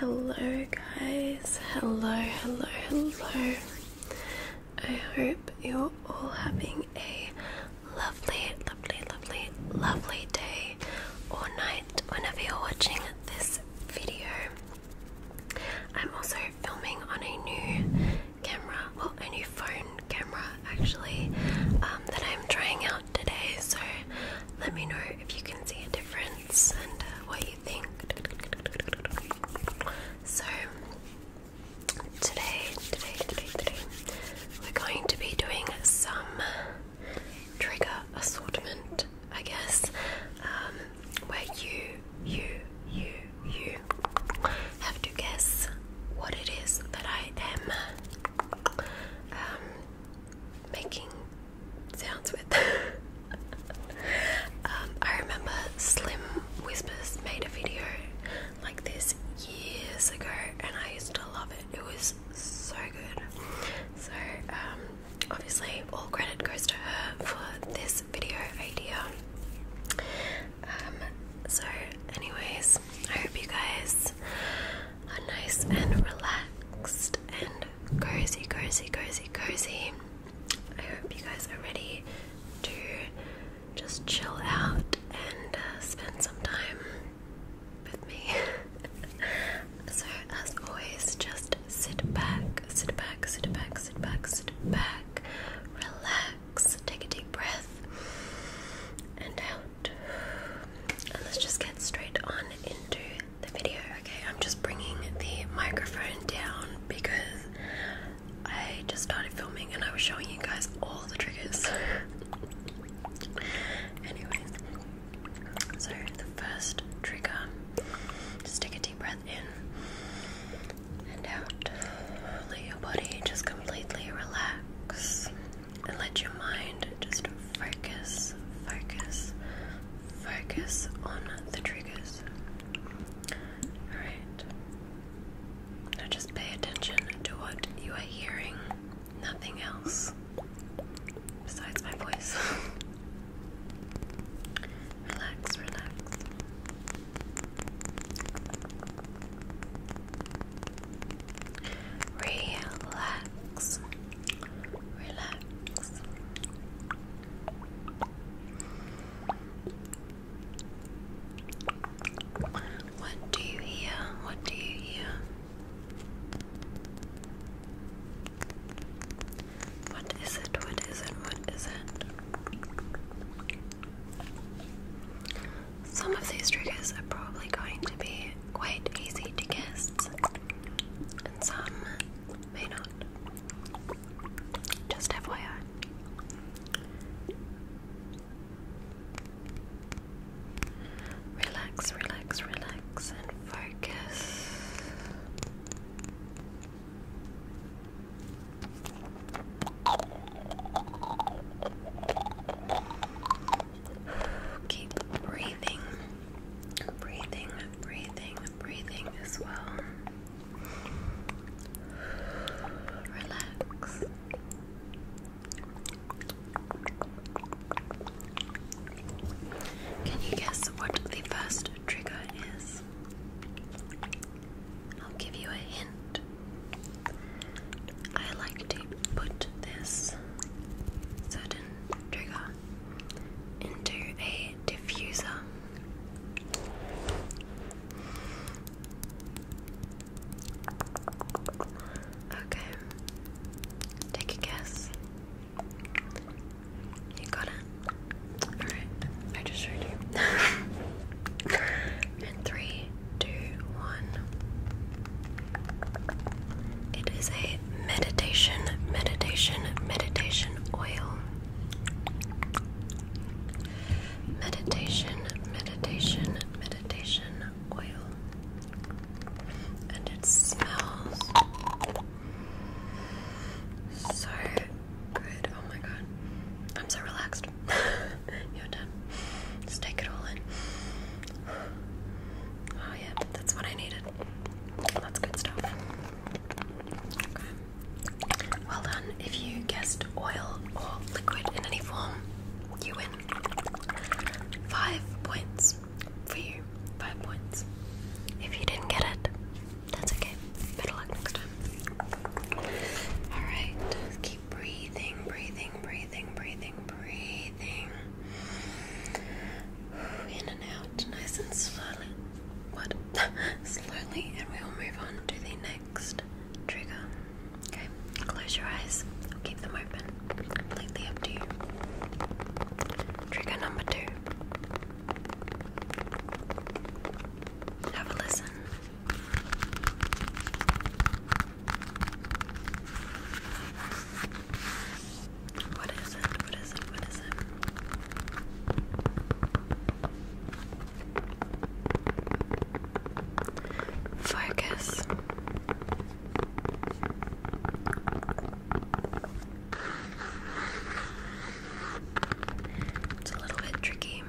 Hello, guys. Hello, hello, hello. I hope you're all having a lovely, lovely, lovely, lovely day or night whenever you're watching this video. I'm also filming on a new camera, or a new phone camera actually, um, that I'm trying out today. So let me know if you can see a difference and uh, what you think. So, today, today, today, today, we're going to be doing some trigger assortment, I guess, um, where you, you, you, you have to guess what it is that I am um, making sounds with. Um, I remember Slim Whispers made a video like this years ago and I used to love it. It was so good. So, um, obviously, all credit goes to her for this video idea. Um, so, anyways, I hope you guys are nice and relaxed and cozy, cozy, cozy, cozy. I hope you guys are ready to just chill out and uh, spend some time with me. so, as always, just sit back, sit back, sit back, sit back, sit back, relax, take a deep breath, and out. And let's just get straight on into the video. Okay, I'm just bringing the microphone down because I just started filming and I was showing you guys all the triggers. Anyways, so the first trigger, just a deep breath in and out. Let your body just completely relax and let your mind just focus, focus, focus on the triggers. Alright. Now just pay attention to what you are hearing, nothing else besides my voice. relax, relax. Relax. Relax. What do you hear? What do you hear? What is it? What is it? What is it? Some of these triggers are probably going to be quite easy to guess, and some may not. Just FYI. Relax, relax, relax, and focus. Keep breathing, breathing, breathing, breathing as well. Relax. Can you guess what the first trigger is? I'll give you a hint. I like to put this certain trigger into a diffuser. Okay. Take a guess. You got it? Alright. I just showed you. and three, two, one. It is a meditation, meditation, meditation oil meditation, meditation, meditation oil. And it smells so good. Oh my god. I'm so relaxed. You're done. Just take it all in. Oh, yeah, that's what I needed. That's good stuff. Well done. If you guessed oil or liquid in any form, you win. Five points for you. Five points. If you didn't get it, that's okay. Better luck next time. Alright, keep breathing, breathing, breathing, breathing, breathing. In and out, nice and slowly what slowly and we will move on to the next trigger. Okay, close your eyes, keep them open, completely up to you. Trigger number two. Have a listen. What is it? What is it? What is it? Focus. It's a little bit tricky.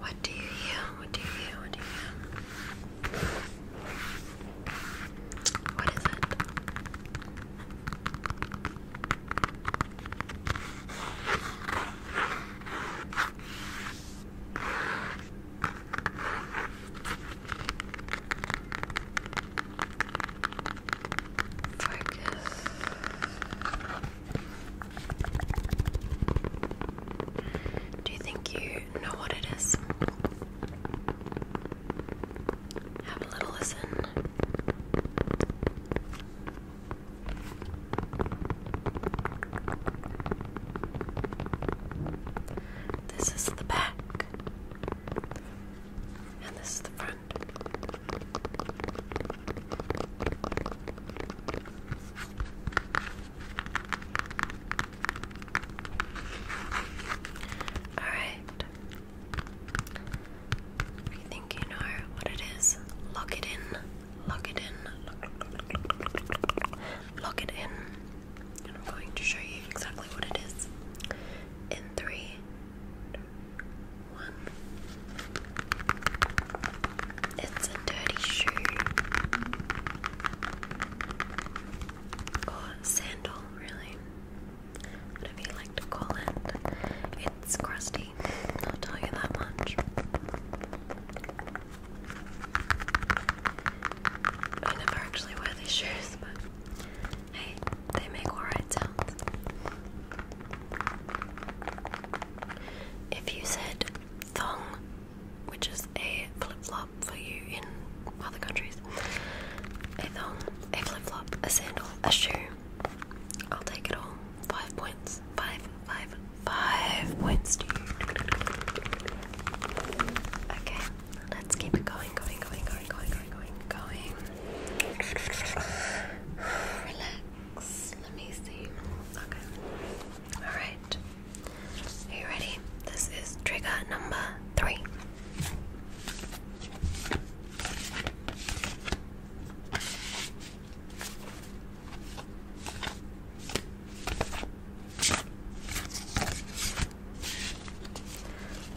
What do you hear? What do you hear? What do you hear? What is it? Focus. Do you think you know what it is? Have a little listen. This is the back and this is the front. All right. I think you know what it is. Lock it in. Lock it in. Lock it in. And I'm going to show you exactly what it is. In three, one. It's a dirty shoe or sandal, really. Whatever you like to call it. It's crusty, I'll tell you that much. I never actually wear these shoes, but Hey, they make alright sounds. If you said thong, which is a flip flop for you in other countries, a thong, a flip flop, a sandal, a shoe, I'll take it all. Five points. Five, five, five points Okay, let's keep it going, going, going, going, going, going, going. Relax. Let me see. Okay. Alright. you ready? This is trigger number three.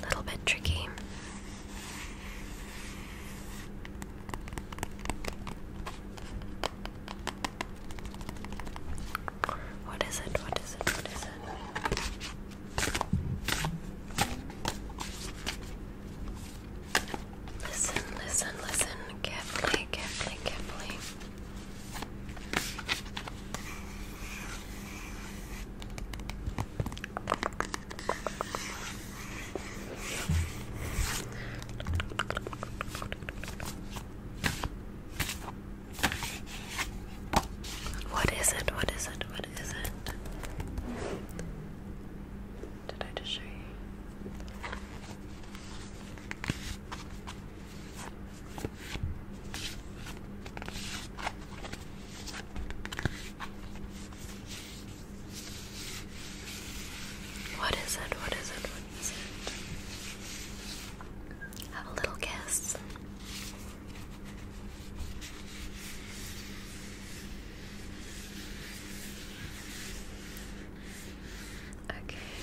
A little bit tricky. What is it? What is it? What is it? Listen, listen, listen carefully, carefully, carefully. What is it? What is it? What is it? Did I just what is it? What is it? What is it? Have a little kiss. Okay.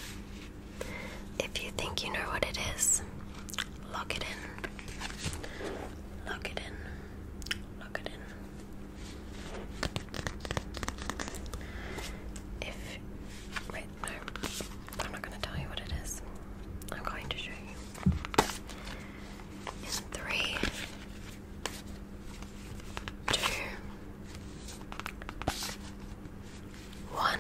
If you think you know what it is, lock it in. Lock it in. Lock it in. If wait, no, I'm not gonna tell you what it is. I'm going to show you. In three, two, one.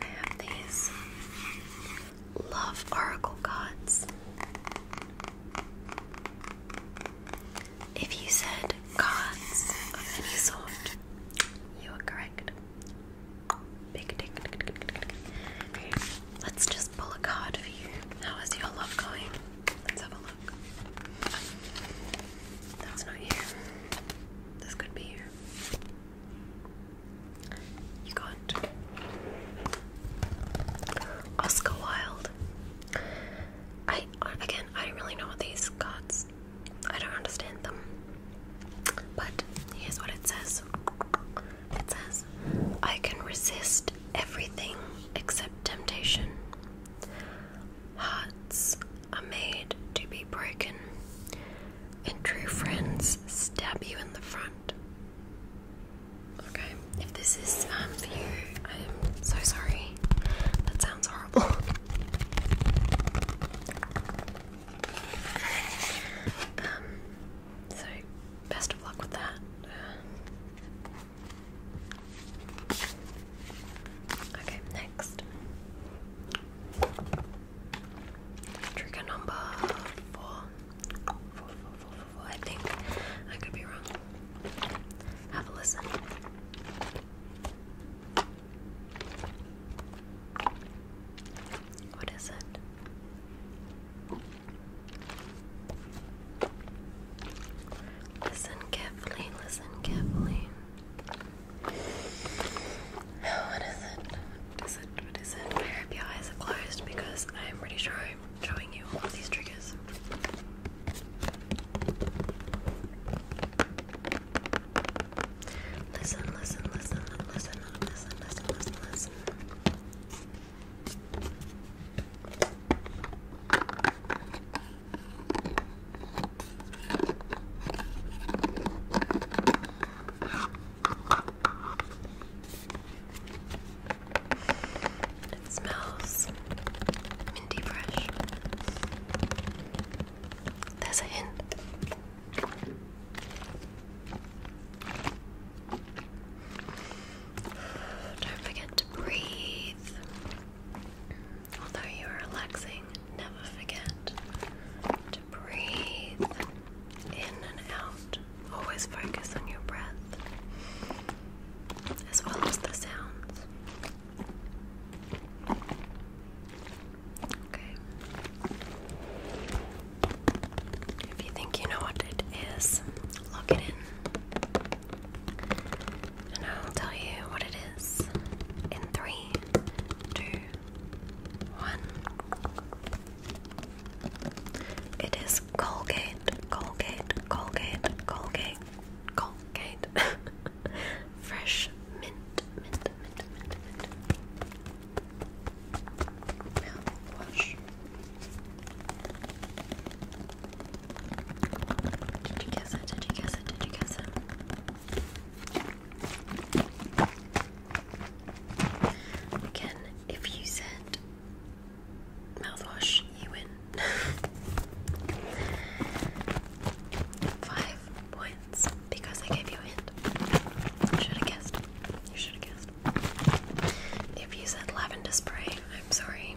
I have these love oracle cards. If you said gods, of any sort, you are correct. let's just pull a card for you. How is your love going? Let's have a look. That's not here. This could be here. You got Oscar Wilde. I again, I don't really know these gods. I don't understand them. But here's what it says. It says, I can resist everything except temptation. Hearts are made to be broken, and true friends stab you in the front. Okay, if this is um, for you, I am so sorry. That sounds horrible. um, so, best of luck with that. Uh, Okay, next. Trigger number four, four, four. I think I could be wrong. Have a listen. What is it? Listen carefully, listen carefully. What is it? What is it? What is it? I eyes are closed because I'm pretty sure I'm showing you all of these triggers. Listen, listen, listen, listen, listen, listen, listen, listen. It smells minty fresh. There's a hint. Don't forget to breathe. Although you are relaxing, never forget to breathe in and out. Always focus on your breath as well as the sounds. Okay. If you think you know what it is, lock it in. And I'll tell you what it is in three, two, one. It is Colgate, Colgate, Colgate, Colgate, Colgate. Fresh mint, mint, mint, mint, mint. Now wash. Did you guess it? Did you guess it? Did you guess it? Again, if you said mouthwash, you win. Five points because I gave you a hint. should have guessed. You should have guessed. If you said lavender spray, I'm sorry.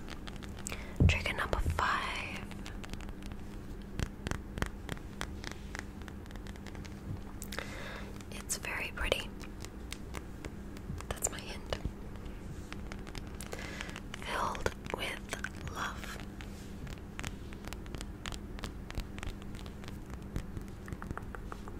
Trick Trigger number five. It's very pretty. That's my hint. Filled with love.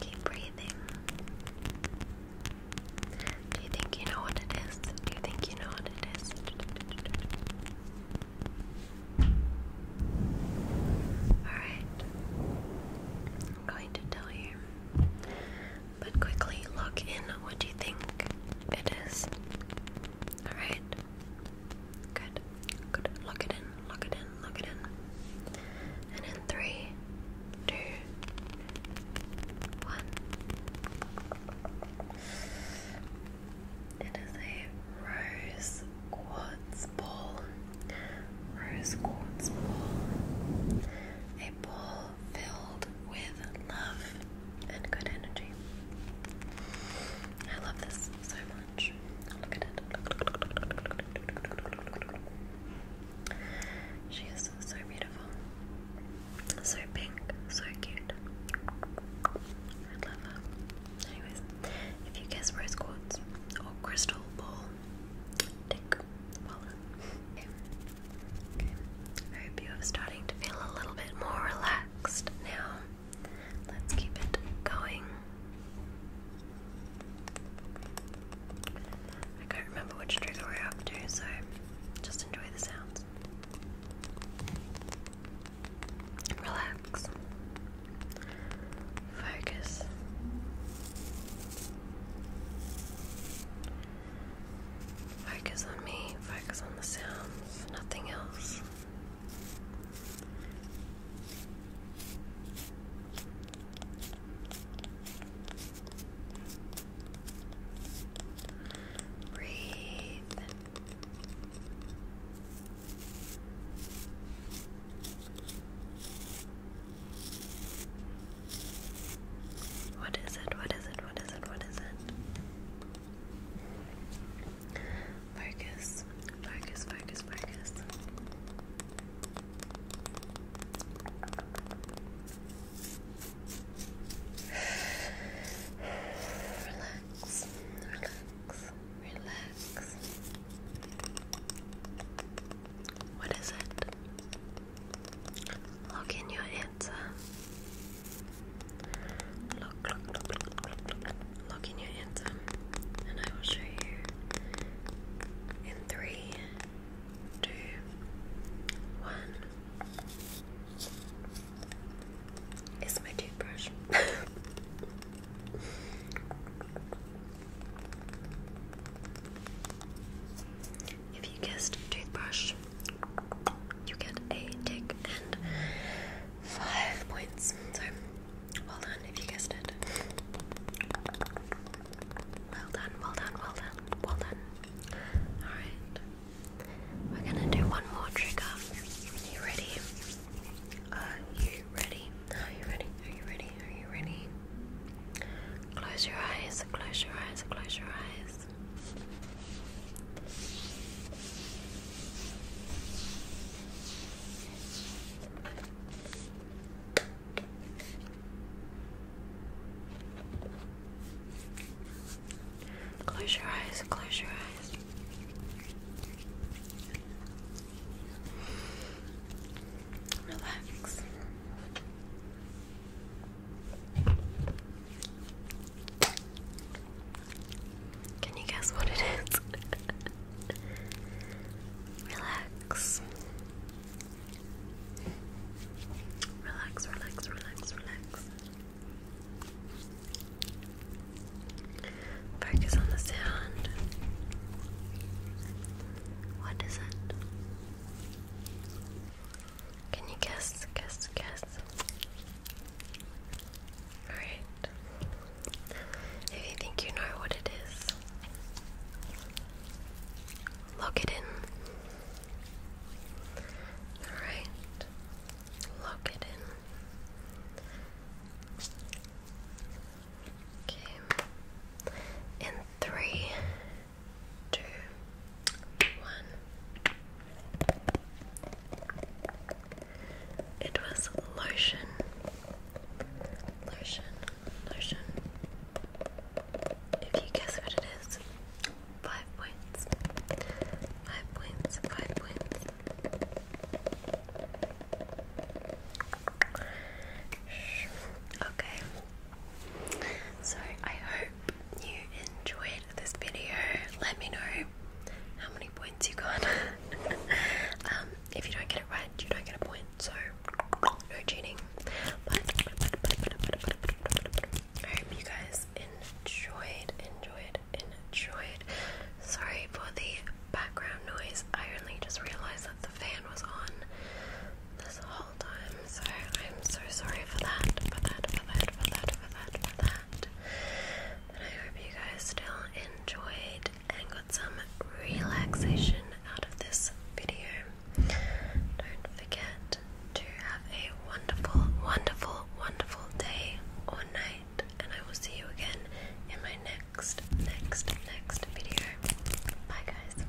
Keep breathing. Do you think you know what it is? Do you think you know what it is? Alright. I'm going to tell you. But quickly look in what you think it is. Alright? Good. Good. Lock it in. Lock it in. Lock it in. And in three, two, one. It is a rose quartz ball. Rose quartz ball. A ball filled with love and good energy. I love this so much. Look at it. She is so beautiful, so pink, so cute. I love her. Anyways, if you guess rose quartz or crystal ball, tick, well Okay. okay, I hope you are starting to feel a little bit more relaxed relaxed now. Let's keep it going. I can't remember which trigger we're up to, so just enjoy the sounds. Relax. Focus. Focus on me, focus on the sounds, nothing else. Breathe. What is it? What is it? What is it? What is it? Focus, focus, focus, focus. Relax, relax, relax. What is it? Look in your answer. Look, look, look, look, look, look. Look in your anthem, and I will show you in three, two, one. It's my toothbrush. If you guessed toothbrush, you get a tick and five points. So well done if you guessed it. Well done, well done, well done, well done. Alright. We're gonna do one more trigger. you ready? Are you ready? Are you ready? Are you ready? Are you ready? Close your eyes, close your eyes, close your eyes. Close your eyes, close your eyes. Relax. Can you guess what it is? relax. Relax, relax, relax, Focus on the sound. What is it? Can you guess, guess, guess? Alright. If you think you know what it is, lock it in. Alright. Lock it in. Okay. In three, two, one. It was lotion, lotion, lotion. If you guess what it is, five points, five points, five points. Okay, so I hope you enjoyed this video. Let me know how many points you got. Um, if you don't get it right, you don't get a point. So no cheating. But I hope you guys enjoyed, enjoyed, enjoyed. Sorry for the background noise. I only just realized that the fan was on this whole so I'm so sorry for that, for that, for that, for that, for that, for that. I hope you guys still enjoyed and got some relaxation out of this video. Don't forget to have a wonderful, wonderful, wonderful day or night, and I will see you again in my next, next, next video. Bye, guys.